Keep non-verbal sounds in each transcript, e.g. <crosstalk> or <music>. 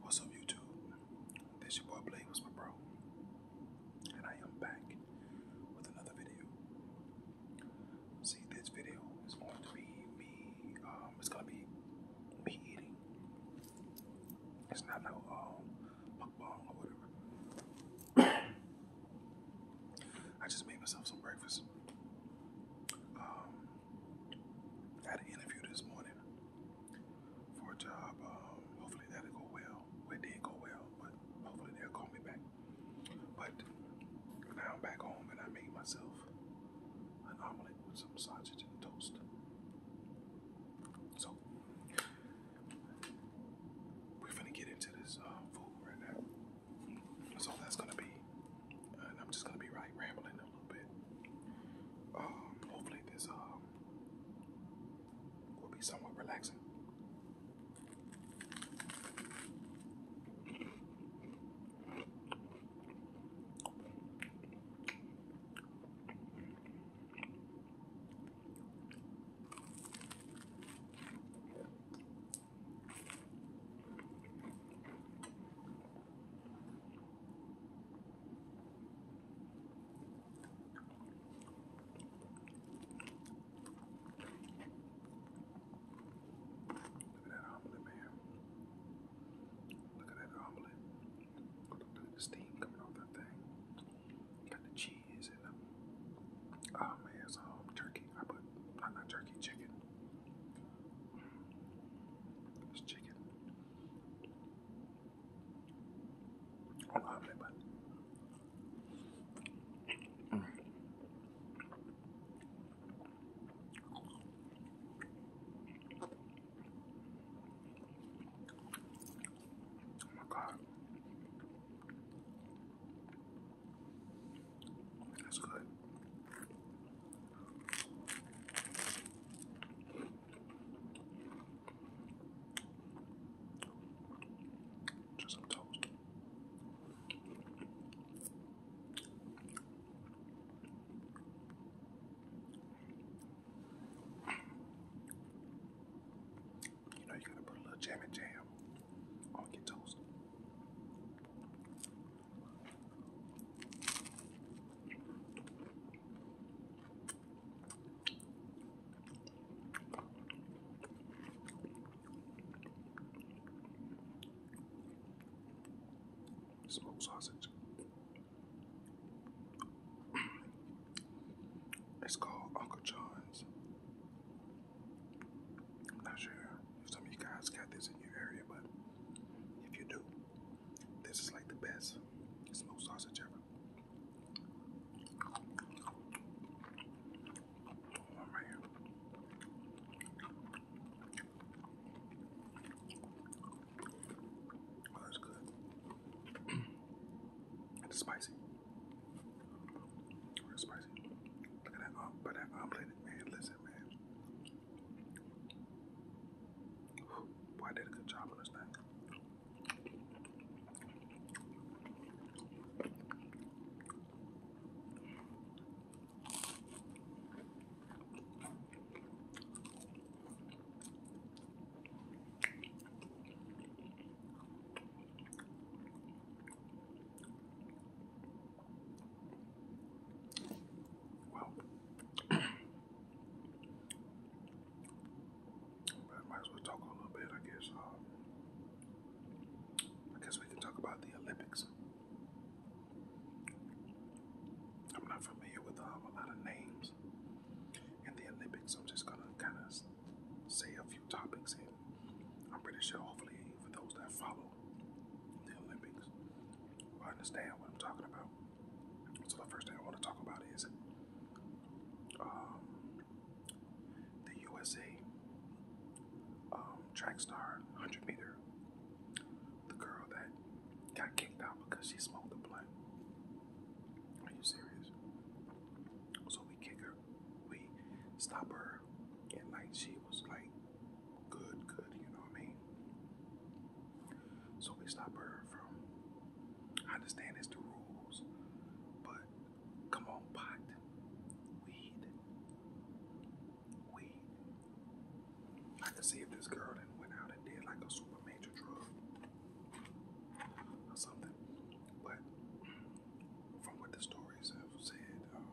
What's up, YouTube? This your boy Blade was my bro, and I am back with another video. See, this video is going to be me. Um, it's gonna be me eating. It's not no um, mukbang or whatever. <coughs> I just made myself some breakfast. Um, I had an interview this morning for a job. Um, hopefully that'll go well. it did go well, but hopefully they'll call me back. But now I'm back home and I made myself an omelet with some sausage and toast. So we're gonna get into this uh, food right now. So that's gonna be and I'm just gonna be right rambling a little bit. Um, hopefully this um will be somewhat relaxing. Look at that omelet, man. Look at that omelet. Look at the steam coming off that thing. Got the cheese in them. Oh man, it's turkey. I put, not turkey, chicken. It's chicken. I love it, but. Mm. Oh my god. That's good. Just some toast. You know you gotta put a little jam and jam on your toast. Smoked sausage. It's called Uncle John's. I'm not sure if some of you guys got this in your area, but if you do, this is like the best smoked sausage ever. One right Oh, that's good. <clears throat> it's spicy. Real spicy. Look at that um, but that omelet, man. Listen, man. I did a good job on this thing. Well, I <clears throat> might as well talk a little bit, I guess. Um, I guess we can talk about the Olympics. I'm not familiar with um, a lot of names in the Olympics. I'm just gonna kind of say a few topics, and I'm pretty sure, hopefully, for those that follow the Olympics, will understand what I'm talking about. So the first thing I want to talk about is um, the USA um, track star 100 meter, the girl that got kicked out because she smoked the blunt. Are you serious? So we kick her, we stop her her, and like she was like good, good, you know what I mean? So we stop her from. I understand it's the rules, but come on, pot, weed, weed. I can see if this girl then went out and did like a super major drug or something, but from what the stories have said, um,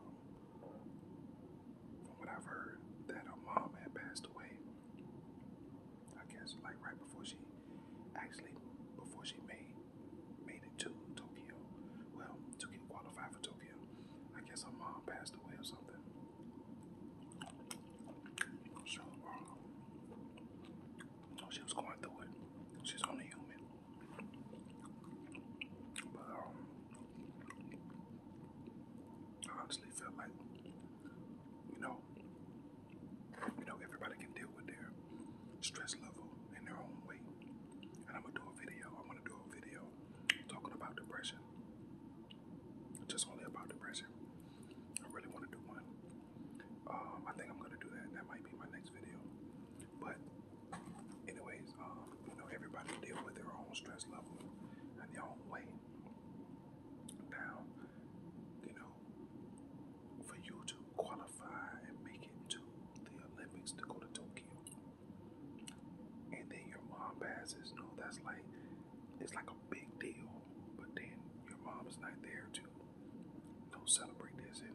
from what I've heard, that her mom had passed away. I guess like right before she actually before she made made it to Tokyo. Well, to get for Tokyo. I guess her mom passed away or something. So uh, she was going through it. She's only human. But um, I honestly feel like, you know, you know, everybody can deal with their stress level in their own way. And I'm gonna do a video. I want to do a video talking about depression. Just only about depression. I really want to do one. Um, I think I'm gonna do that. That might be my next video. But Anyways, um, you know, everybody deal with their own stress level and their own way. Now, you know, for you to qualify and make it to the Olympics to go to Tokyo, and then your mom passes, no, that's like it's like a big deal. But then your mom's not there to you celebrate this and,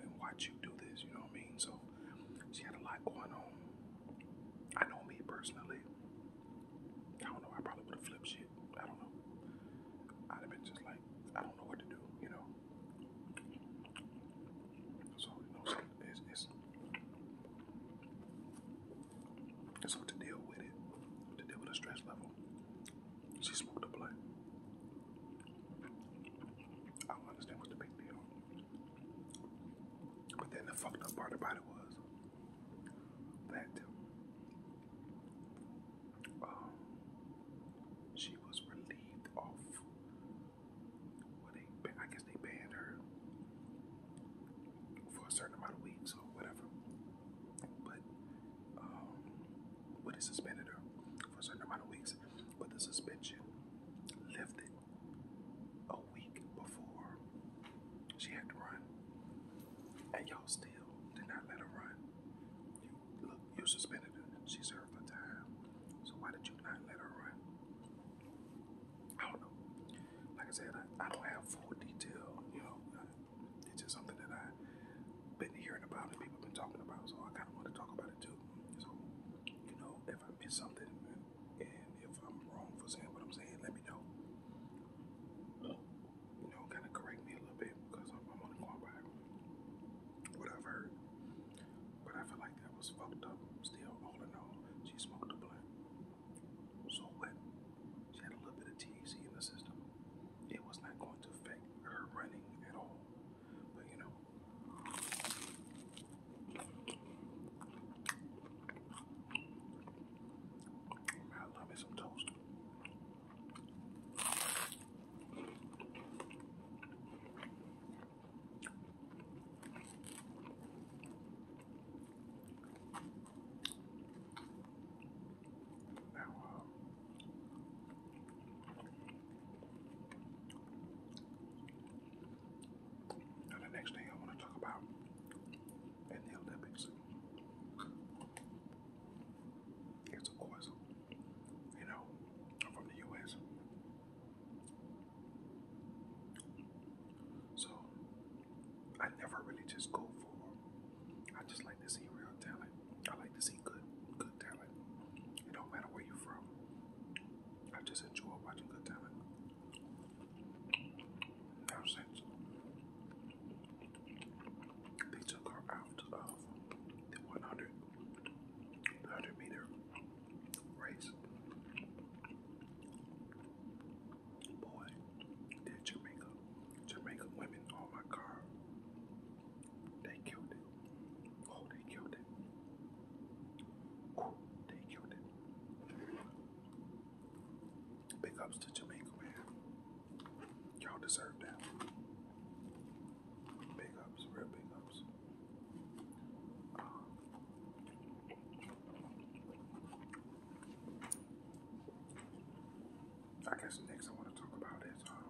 and watch you do this. You know what I mean? So she had a lot going on. I know me personally. I don't know. I probably would have flipped shit. I don't know. I'd have been just like, I don't know what to do, you know. So you know, it's it's, it's hard to deal with it, to deal with a stress level. She smoked a blunt. I don't understand what the big deal. But then the fucked up part about it was that um, she was relieved of when they, I guess they banned her for a certain amount of weeks or whatever. But um, they suspended her for a certain amount of weeks. But the suspension lifted a week before she had to run, and y'all still did not let her run. look, you suspended her. She served her time. So why did you not let her run? I don't know. Like I said, I, don't have full detail. You know, it's just something that I've been hearing about and people been talking about. So I kind of want to talk about it too. So, you know, if I miss something and if I'm wrong for saying what I'm saying, let me know. Oh. You know, kind of correct me a little bit because I'm, only going by what I've heard. But I feel like that was fucked up. Still, all in all, she smoked a blunt. So what? She had a little bit of THC in the system. It was not going to affect her running at all. But you know, I love me some toast. Now, uh, now, the next thing I want to talk about in the Olympics is, of course, you know, from the U.S. So, I never really just go for. I just like to see real talent. I like to see good, good talent. It don't matter where you're from. I just enjoy watching Good Time. No sense. They took her out of the 100, meter race. Boy, did Jamaica, Jamaica women, oh my god, they killed it. Oh, they killed it. Ooh, they killed it. Big ups to Jamaica, man. Y'all deserve that. Big ups, real big ups. Um, I guess next I want to talk about is um,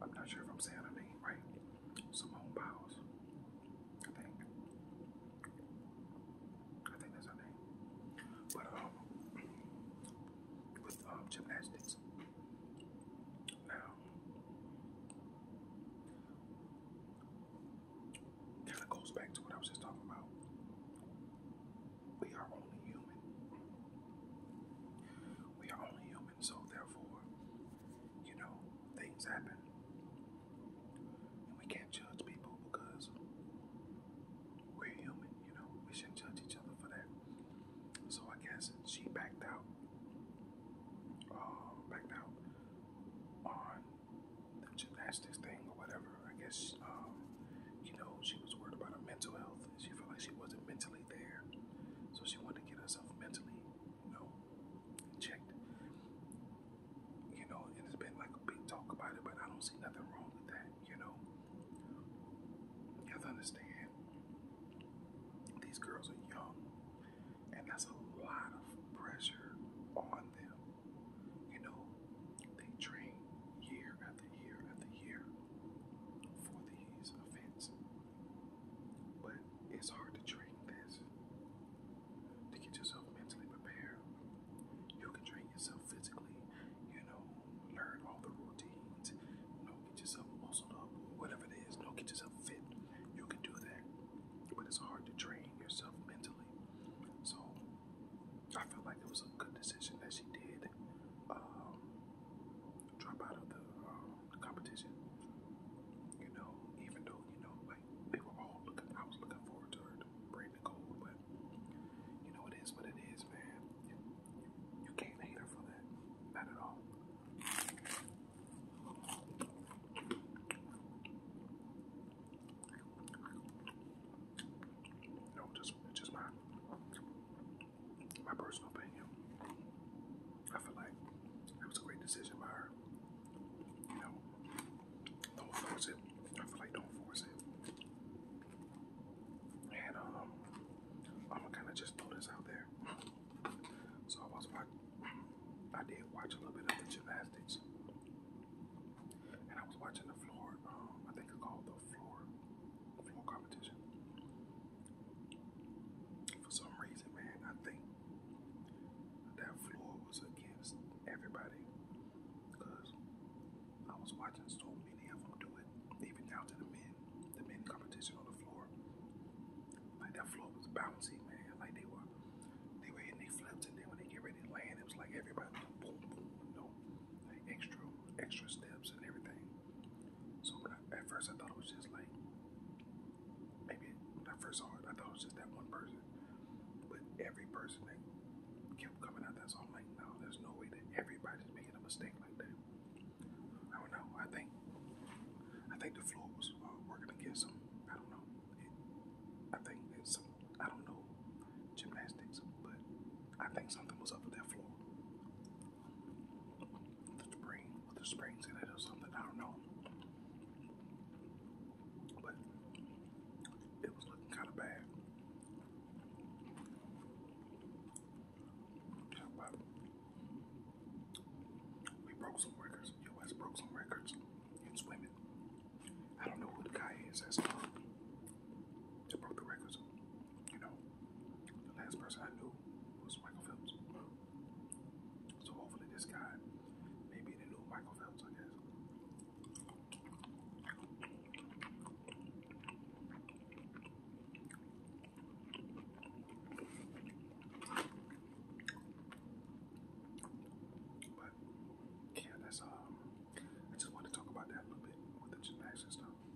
I'm not sure if I'm saying her name right. Simone Biles. I think. I think that's her name. But um with um gymnastics. Now kind of goes back to what I was just talking about. We are only human. We are only human. So therefore, you know, things happen. And we can't judge people because we're human, you know. We shouldn't judge each other for that. So I guess she backed out. Uh, backed out on the gymnastics thing or whatever. I guess, um, you know, she was worried about her mental health she felt like she wasn't mentally there. So she wanted to get herself mentally, you know, checked. You know, and it's been like a big talk about it, but I don't see nothing wrong with that, you know. You have to understand, these girls are young, and that's a lot of pressure on them. You know, they train year after year after year for these events. But it's hard to train this to get yourself mentally prepared. You can train yourself physically, you know, learn all the routines, you get yourself muscled up, whatever it is, you get yourself fit. You can do that. But it's hard to train yourself mentally. So I feel like it was a good decision that she did. Um, drop out of the, uh, competition. You know, even though, you know, like they were all looking, I was looking forward to her to the gold, but you know, it is what it is, man. You, can't hate her for that, not at all. No, just, just mine my personal opinion, I feel like it was a great decision by her. You know, don't force it. I feel like don't force it. And um, I'm gonna kind of just throw this out there. So I was watching, I did watch a little bit of the gymnastics, and I was watching the floor. Um, I think it's called the floor floor competition. For some reason, man, I think that floor was against everybody because I was watching so many of them do it, even down to the men, the men competition on the floor. Like that floor was bouncy, man. Like they were, they were hitting they flips, and then when they get ready to land, it was like everybody boom, boom, you know, like extra, extra steps and everything. So when I, at first I thought it was just like maybe when I first saw it, I thought it was just that one person. But every person that kept coming out, that's all I'm like, no, there's no way that everybody's making a mistake like that. I don't know. I think I think the floor was uh, working against them. I don't know. I think it's I don't know gymnastics, but I think something was up with that floor the spring with the springs in it or something. I don't know, but it was looking kind of bad. we broke some records. U.S. broke some records in swimming. I don't know who the guy is that broke the records. You know, the last person I knew was Michael Phelps. So hopefully this guy may be the Michael Phelps, I guess. But yeah, that's um I just want to talk about that a little bit with the gymnastics stuff.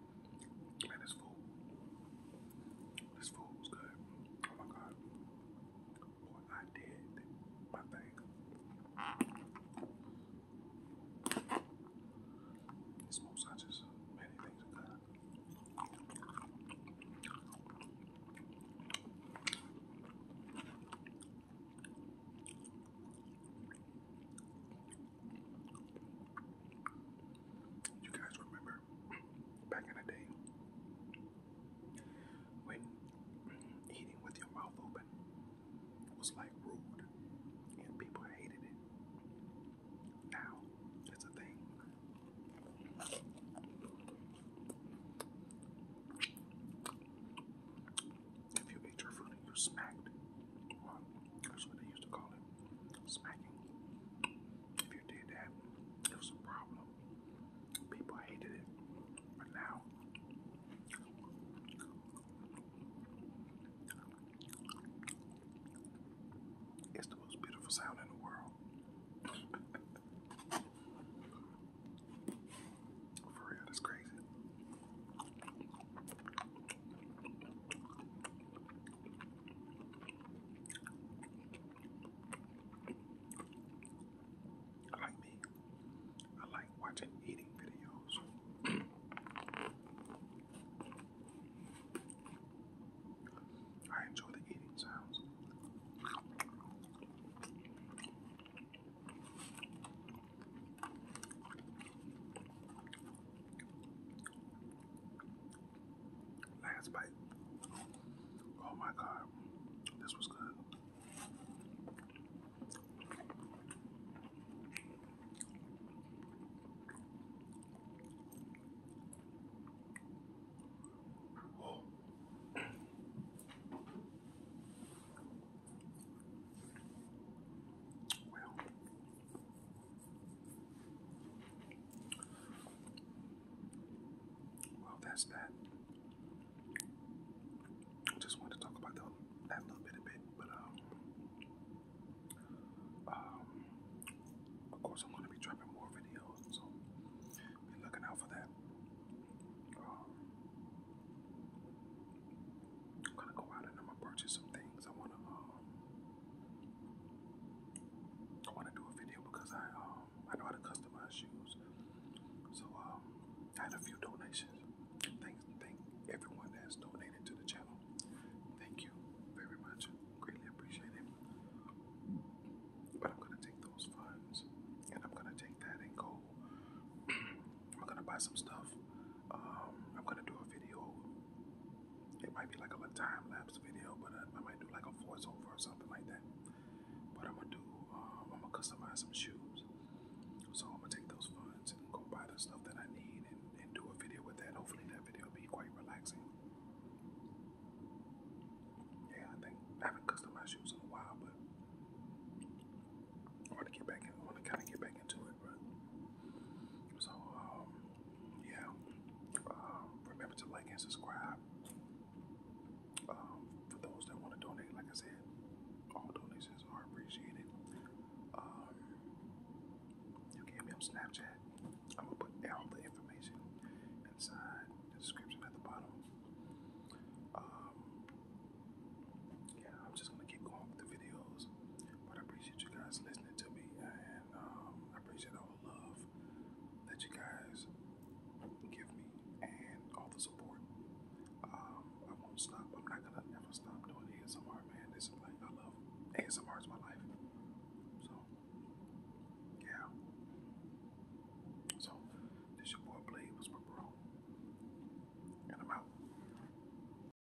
Man, this food. This food was good. Oh my god. Boy, I did my thing. Smoked sausages, many things are good. You guys remember back in the day when eating with your mouth open was like rude and people hated it. Now it's a thing. If you ate your food and you smacked, that's what they used to call it, smacking. If you did that, it was a problem. People hated it, now it's the most beautiful sound in the world. <laughs> For real, that's crazy. I like me. I like watching eating videos. I enjoy the eating sounds. Last bite. Oh my god, this was good. Oh. <clears throat> Well, well, that's that. I just wanted to talk about that little bit, a bit, but um, um, of course, I'm going to be dropping more videos, so be looking out for that. Um, I'm gonna go out and I'm gonna purchase some things. I wanna um, I want to do a video because I um I know how to customize shoes. So um I had a few donations. Thanks thank everyone that donated to the channel. Thank you very much. Greatly appreciate But I'm gonna take those funds and I'm gonna take that and go <clears throat> I'm gonna buy some stuff. Um, I'm gonna do a video. It might be like a time lapse video, but I, might do like a voiceover or something like that. But I'm gonna do. Um, I'm gonna customize some shoes. So I'm gonna take those funds and go buy the stuff that I need and, and do a video with that. Hopefully that video will be quite relaxing. Yeah, I think I haven't customized shoes in a while, but I want to get back in. want to kind of get back into it, so um, yeah, um, remember to like and subscribe. Um, for those that want to donate, like I said, all donations are appreciated. Um, you can me on Snapchat. I'm gonna put all the information inside the description at the bottom. Um, yeah, I'm just gonna keep going with the videos. But I appreciate you guys listening to me, and um, I appreciate all the love that you guys give me and all the support. Um, I won't stop. I'm not gonna ever stop doing ASMR, man. This is like I love ASMR is my life. So yeah. So this your boy Blade was my bro, and I'm out.